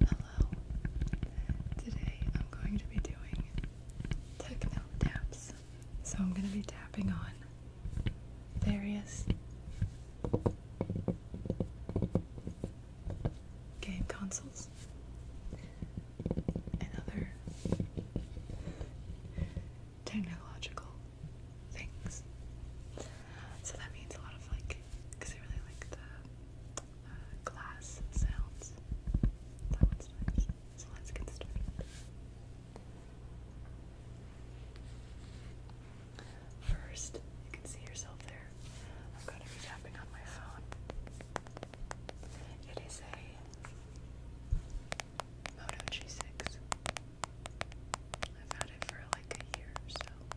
Hello. Today I'm going to be doing techno taps. So I'm going to be tapping on various game consoles and other technological things. So that means a lot of like because I really like the uh, glass sounds. That one's nice. let's get started. First, you can see yourself there. I'm going to be tapping on my phone. It is a Moto G6. I've had it for like a year or so.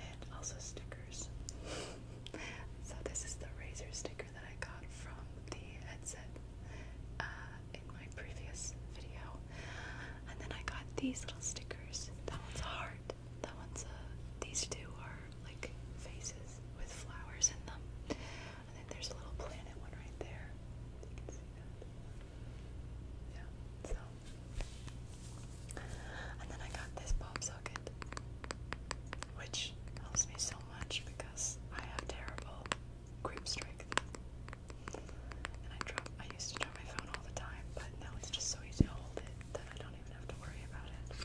and also stickers. so this is the razor sticker that I got from the headset uh, in my previous video, and then I got these little stickers. That one's a heart. That one's a. Uh, these two are like faces with flowers in them, and then there's a little planet one right there. Yeah. So and then I got this pop socket, which helps me so much because I have terrible grip strength. And I drop, I used to drop my phone all the time, but now it's just so easy to hold it that I don't even have to worry about it.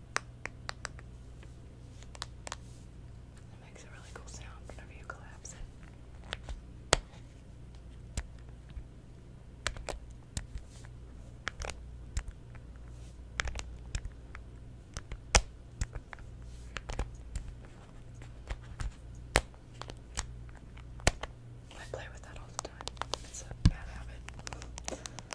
It makes a really cool sound whenever you collapse it. I play with that all the time. It's a bad habit.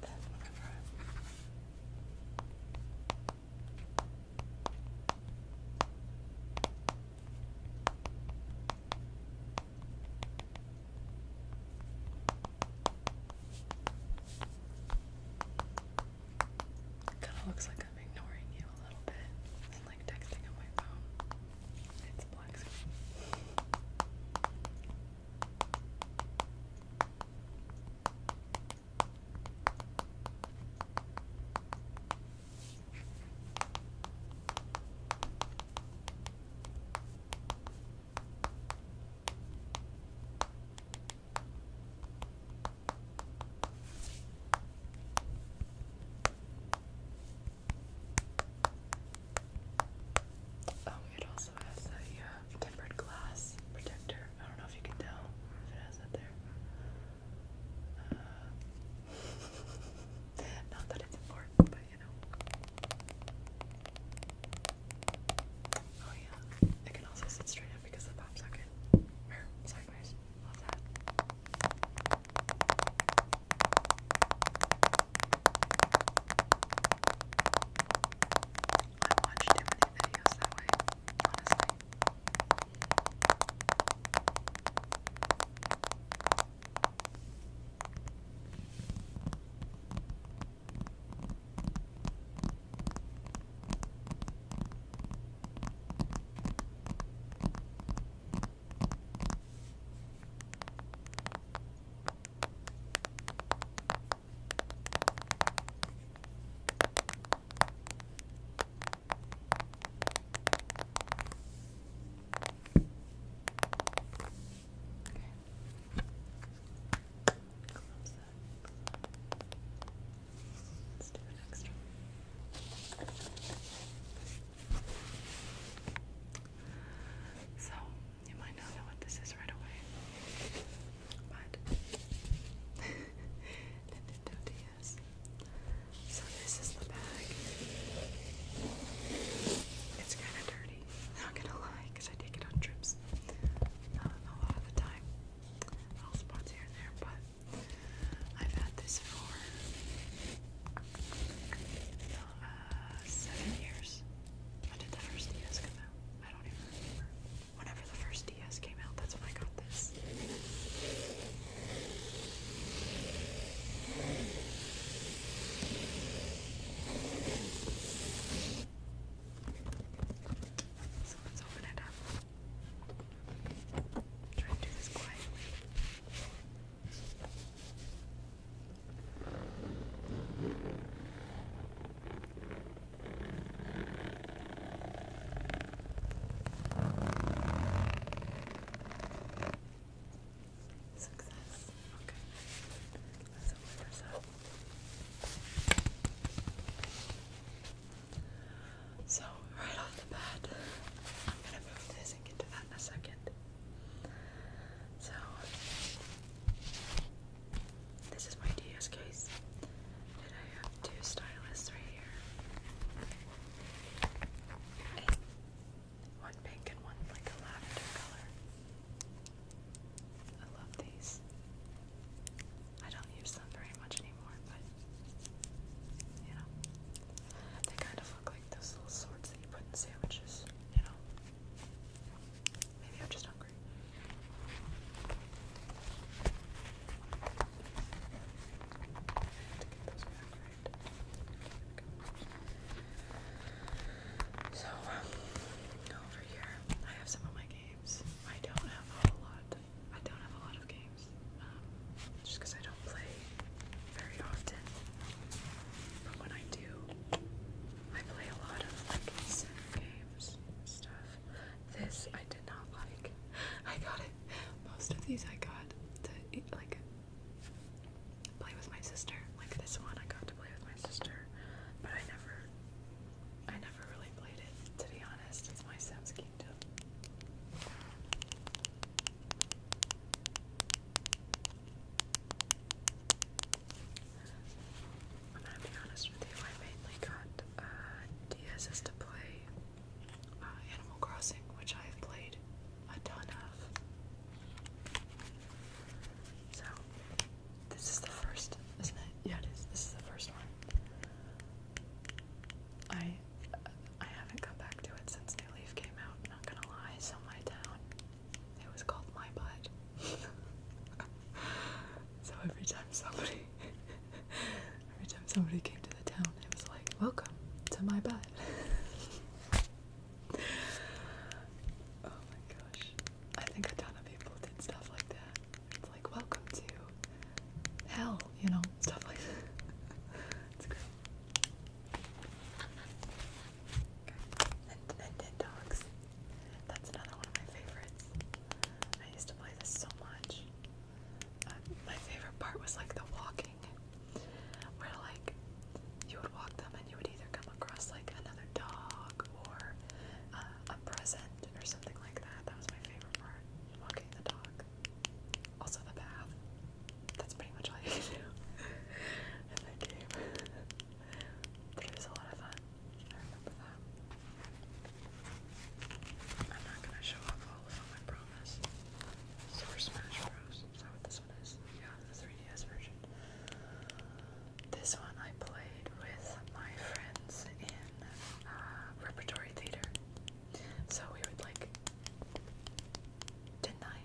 Then Kind of looks like I'm ignoring you a little bit and like texting on my phone. It's black Oh, it also also a uh, tempered glass protector. I don't know if you can tell if it has that there. Uh, not that it's important, but you know. Oh yeah, it can also sit straight up because the pop socket. sorry guys, love that. I watch too many videos that way, honestly. Let's do an extra. So you might not know what this is right away, but Nintendo DS. So this is the bag. It's kind of dirty. Not gonna lie, cause I take it on trips um, a lot of time. Little spots here and there, but I've had this for uh, seven years. When did the first DS come out? I don't remember. Whenever the first DS came out, that's when I got this. let's open it up. Try to do this quietly. Success. Okay. So, right off the bat, I'm gonna move this and get to that in a second. So, this is my DS case. And I have two styluses right here. one pink and one like a lavender color. I love these. I don't use them very much anymore, but you know. They kind of look like those little swords that you put in sandwiches, you know. Maybe I'm just not so um, over here, I have some of my games. I don't have a lot. I don't have a lot of games, um, just because I don't play very often. But when I do, I play a lot of like games stuff. This I did not like. I got it. Most of these I got to like play with my sister. Like this one I got to play with my sister, but I never I never really played it, to be honest. It's my Sims Kingdom. I'm gonna be honest with you, I mainly got uh, to play uh, Animal Crossing, which I have played a ton of. So, this is the first, isn't it? Yeah, it is. This is the first one. I I haven't come back to it since New Leaf came out, not gonna lie, so my town it was called My Butt. so every time somebody, every time somebody came to the town, it was like, "Welcome to my butt." oh my gosh! I think a ton of people did stuff like that. It's like, "Welcome to hell," you know, stuff like that. And, and, and dogs. That's another one of my favorites. I used to play this so much. Um, my favorite part was like the walking, where like you would walk them and you would either come across like another dog or uh, a present or something like that. That was my favorite part, walking the dog. Also the bath. That's pretty much all you can do in that game. it was a lot of fun. I remember that. I'm not gonna show off all of them, I promise. Super Smash Bros. Is that what this one is? Yeah, the 3DS version. This one I played with my friends in uh, repertory theater. So we would like. Didn't I?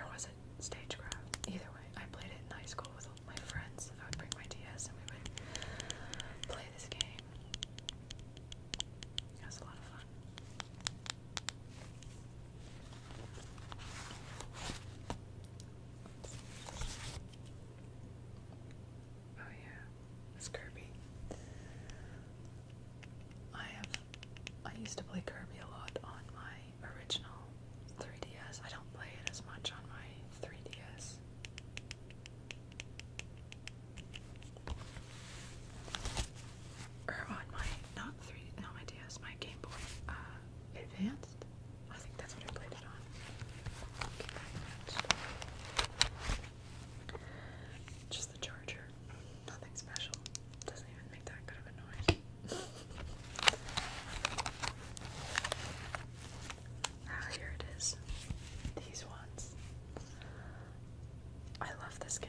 Or was it stagecraft? Either way, I played it in high school with my friends. I would bring my DS and we would play this game. It was a lot of fun. Oh yeah, Kirby. I have I used to play Kirby a lot on my original 3DS. I don't play it as much on my 3DS. Or on my, not 3, not my DS, my Game Boy uh, Advanced. I think that's what I played it on. Just the charger. Nothing special. Doesn't even make that good of a noise. Ah, here it is. These ones. I love this game.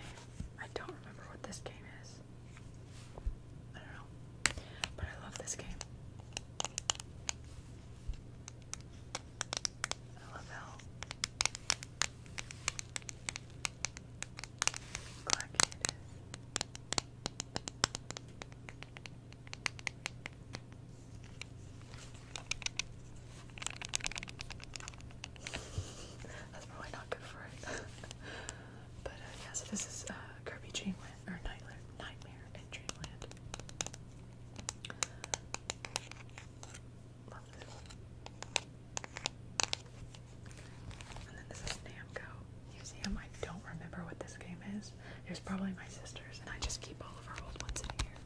I don't remember what this game is. I don't know. But I love this game. I love how that's probably not good for it. but uh, yeah, so this is uh, Kirby Dreamland or Nightmare, Dreamland. Love this And then this is Namco Museum. I don't remember what this game is pictures. It was probably my sister's, and I just keep all of our old ones in here.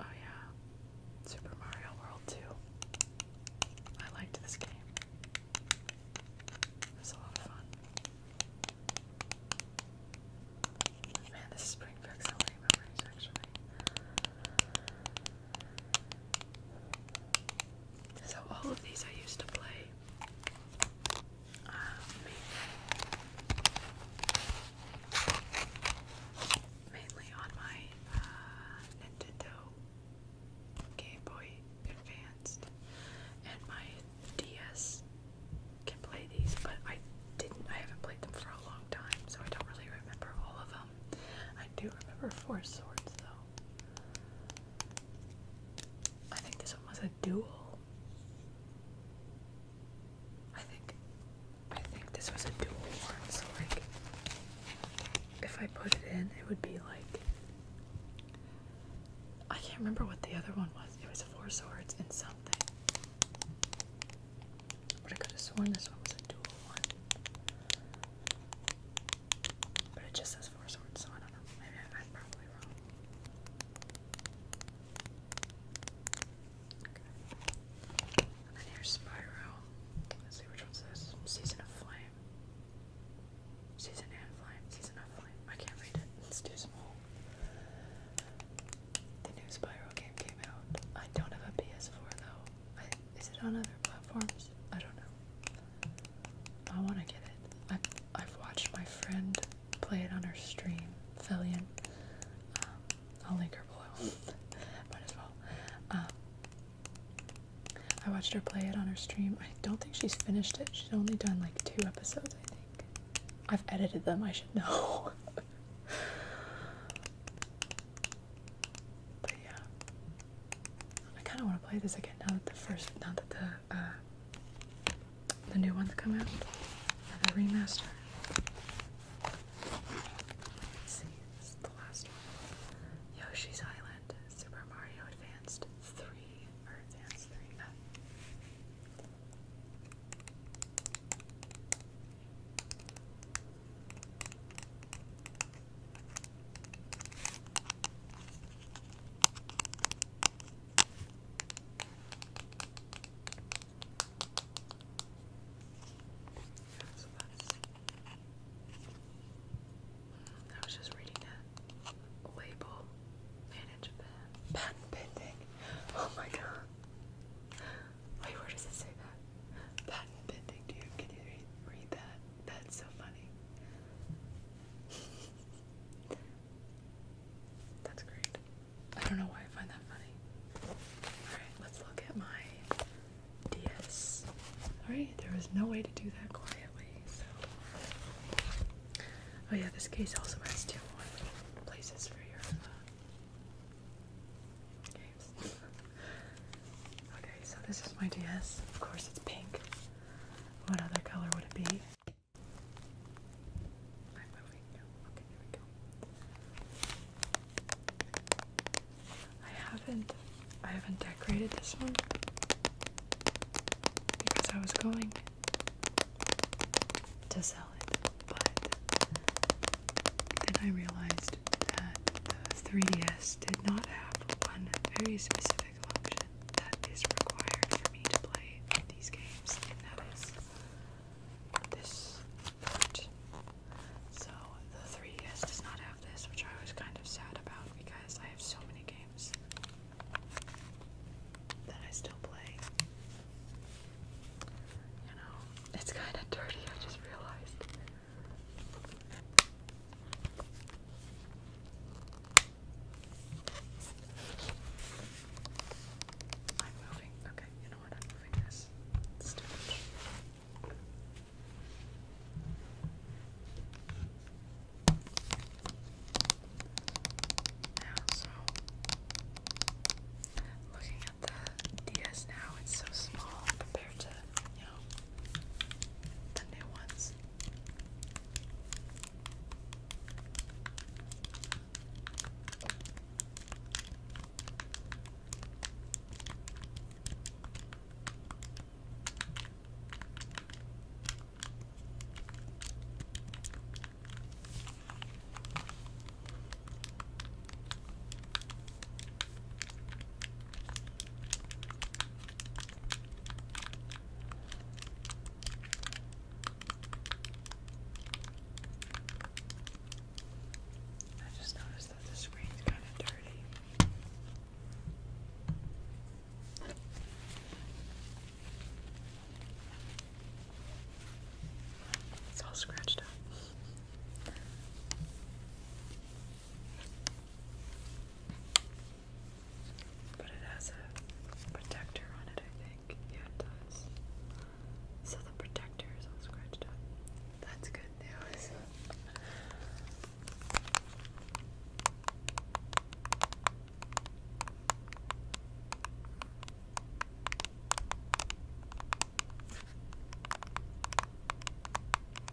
Oh yeah, Super Mario World 2. I liked this game. It a lot of fun. Man, this spring brings so many memories actually. So all of these I used to play. Um, mainly on my uh, Nintendo Game Boy Advanced and my DS can play these, but I didn't I haven't played them for a long time, so I don't really remember all of them. I do remember Four Swords though. I think this one was a duel. I think I think this was a dual one, so like if I put it in it would be like I can't remember what the other one was. It was four swords and something. But I could have sworn this one was a dual one. But it just says four swords, so I don't know. Maybe I'm probably wrong. Okay. And then here's Spyro. Let's see which one's this. Season of Flame. Season and Flame. Season of Flame. I can't read it. It's too small. The new Spyro game came out. I don't have a PS4 though. I, is it on other platforms? I don't know. I want to get it. I, I've watched my friend play it on her stream, Fillion. Um, I'll link her below. Might as well. Um, I watched her play it on her stream. I don't think she's finished it. She's only done like two episodes, I think. I've edited them, I should know. But yeah, I kind of want to play this again now that the first, now that the uh, the new ones come out, the remaster. see, this the last one. Yoshi's Island, Super Mario Advanced Three or Advanced Three. Uh, I was just reading a label. Manage Japan. Patent pending. Oh my god. Wait, where does it say that? Patent pending, dude. Can you read, that? That's so funny. That's great. I don't know why I find that funny. Alright, let's look at my DS. Alright, there no way to do that quietly, Oh, yeah, this case also has two more places for your uh, Okay, so this is my DS. Of course, it's pink. What other color would it be? I'm moving. Okay, there we go. I haven't, I haven't decorated this one because I was going to sell it, but then I realized that the 3DS did not have one very specific option that is required for me to play these games, and that is this part. So the 3DS does not have this, which I was kind of sad about because I have so many games that I still play. You know, it's kind of dirty, I just realized. I'm moving. Okay, you know what? I'm moving this. It's so looking at the DS now, it's so small compared to, you know, the new ones. I just noticed that the screen's kind of dirty. It's all scratched up. But it has a protector on it, I think. Yeah, it does. So the protector is all scratched up. That's good news.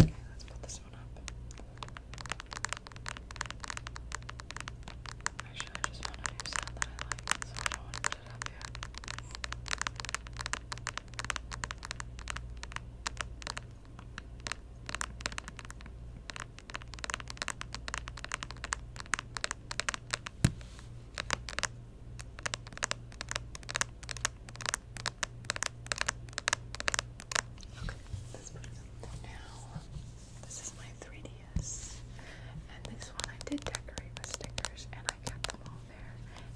Okay, let's put this one up. Actually, I just want to do sound that I like, so I don't want it up yet. Okay, let's put this is my 3DS, and this one I did decorate with stickers, and I kept them all there.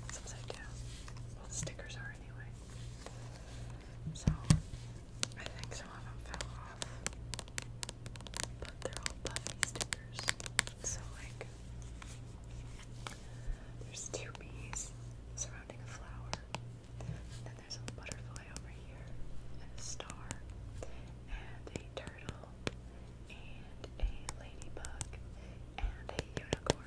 It's upside down. Well, stickers are anyway. So, I think some of them fell off, but they're all puffy stickers. So like there's two bees surrounding a flower. And then there's a butterfly over here and a star and a turtle and a ladybug and a unicorn.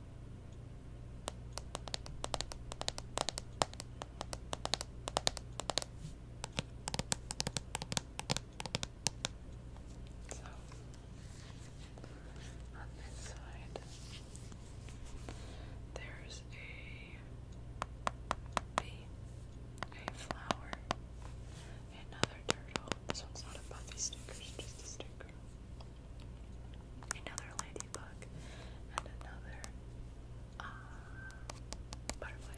So on this side, there's a a flower, another turtle. This one's not a puffy sticker, just a sticker another ladybug, and another uh, butterfly.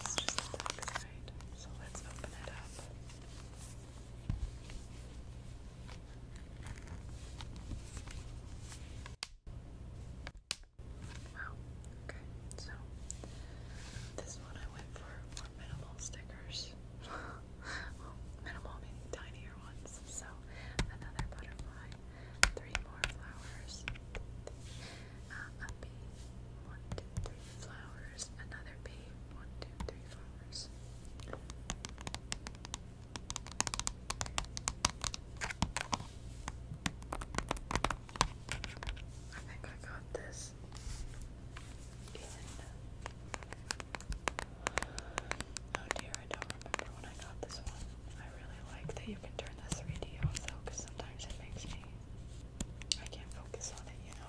This is just the back so let's open it up. Wow. Okay, so this one I went for more minimal stickers. well, minimal, maybe tinier ones. So another butterfly, three more flowers, uh, one, two, three flowers, another bee, one, two, three flowers. I think I got this Oh dear, I don't remember when I got this one. I really like that you can turn the 3D off though, because sometimes it makes me. I can't focus on it, you know?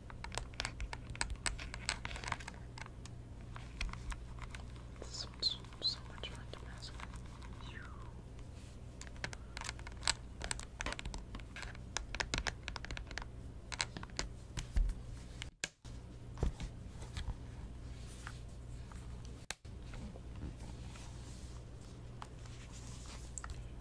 This one's so much fun to mess with.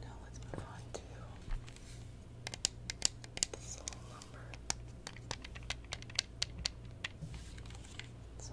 Now let's move on to the soul lumber. So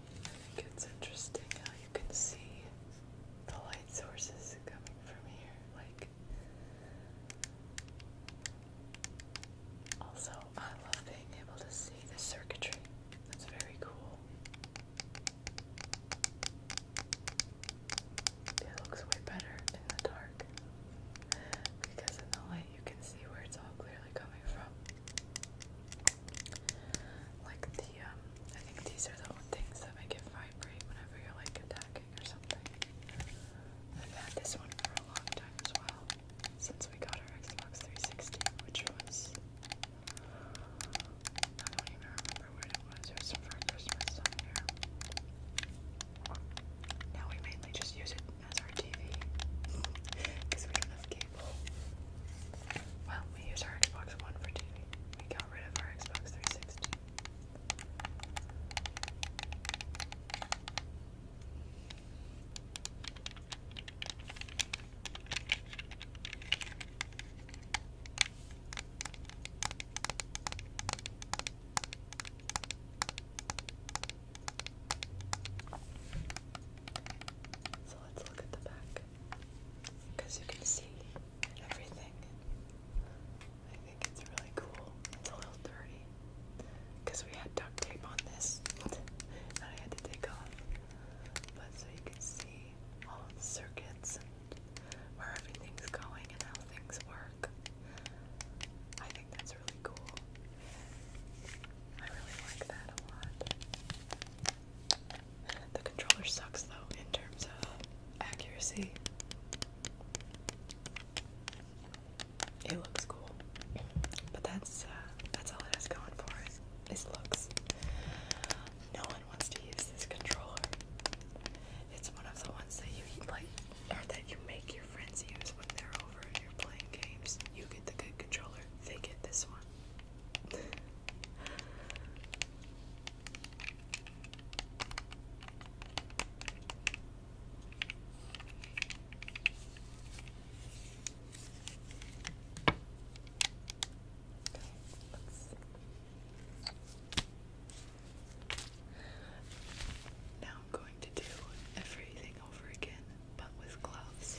I think it's interesting how you can see the light sources coming from here. Like also, I love being able to see the circuitry. That's very cool. It looks way better in the dark because in the light you can see where it's all clearly coming from. Like the, um, I think these are the things that make it vibrate whenever you're like attacking cooking or something. I've had this one for a long time as well, since we got our Xbox 360, which was. I don't even remember what it was. It was for Christmas somewhere. Now we mainly just use it as our TV because we don't have cable. Well, we use our Xbox One for TV. We got rid of our Xbox 360. So let's look at the back because you can see and everything. I think it's really cool. It's a little dirty because we had duct tape on this that I had to take off. But so you can see all the circuits and where everything's going and how things work. I think that's really cool. I really like that a lot. The controller sucks though in terms of accuracy. It looks cool, but that's uh, that's all it has going for it. Is looks. No one wants to use this controller. It's one of the ones that you like, or that you make your friends use when they're over and you're playing games. You get the good controller. They get this one. Let's now I'm going to do everything over again, but with gloves.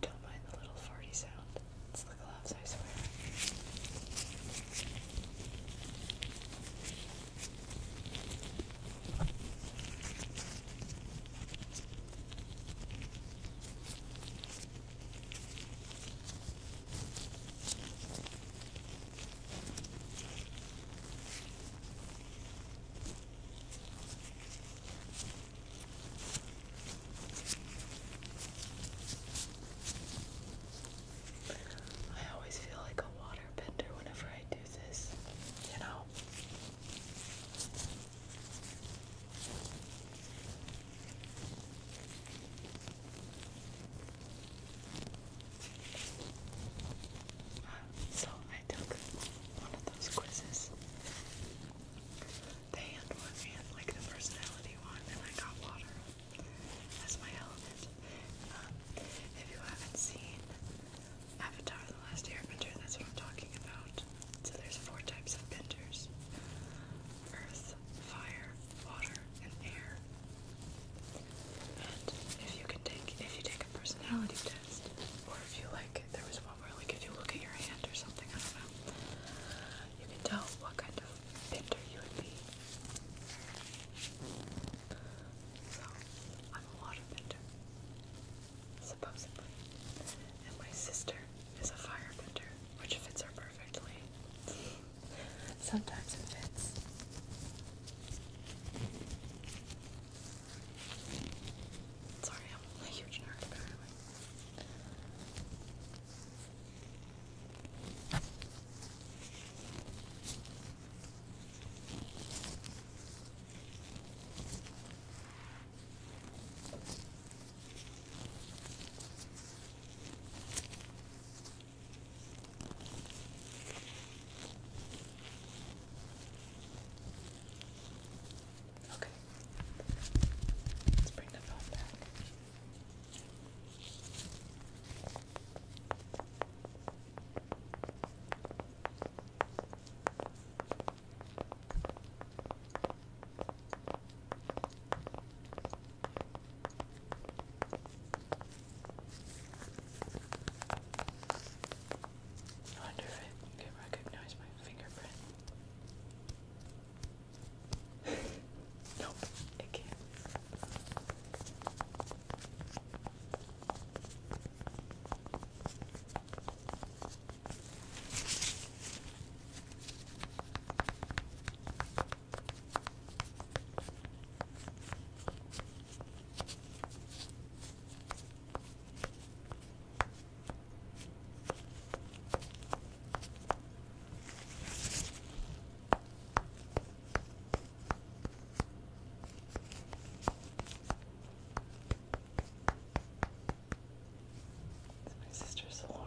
Don't mind the little farty sound. It's the gloves, I swear. I always feel like a waterbender whenever I do this, you know. So I took one of those quizzes. They had one and like the personality one, and I got water as my element. Um, if you haven't seen Avatar: The Last Airbender, that's what I'm talking about. So there's four types of benders: Earth, Fire, water, and air. And if you can take, if you take a personality test, or if you like, there was one where like if you look at your hand or something, I don't know, you can tell what kind of painter you would be. So I'm a water painter, supposedly, and my sister is a fire painter, which fits her perfectly. Sometimes it fits. Sorry, I'm a huge nerd Okay. Let's bring the phone back. I wonder it can recognize my fingerprint. nope, it can't. All it's my sister's alarm.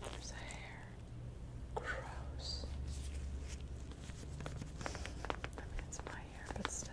There's the hair. Gross. I mean, it's my hair, but still.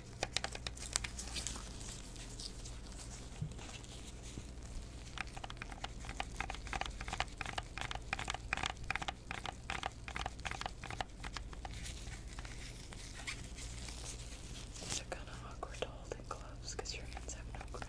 These are kind of awkward to gloves because your hands have no grip.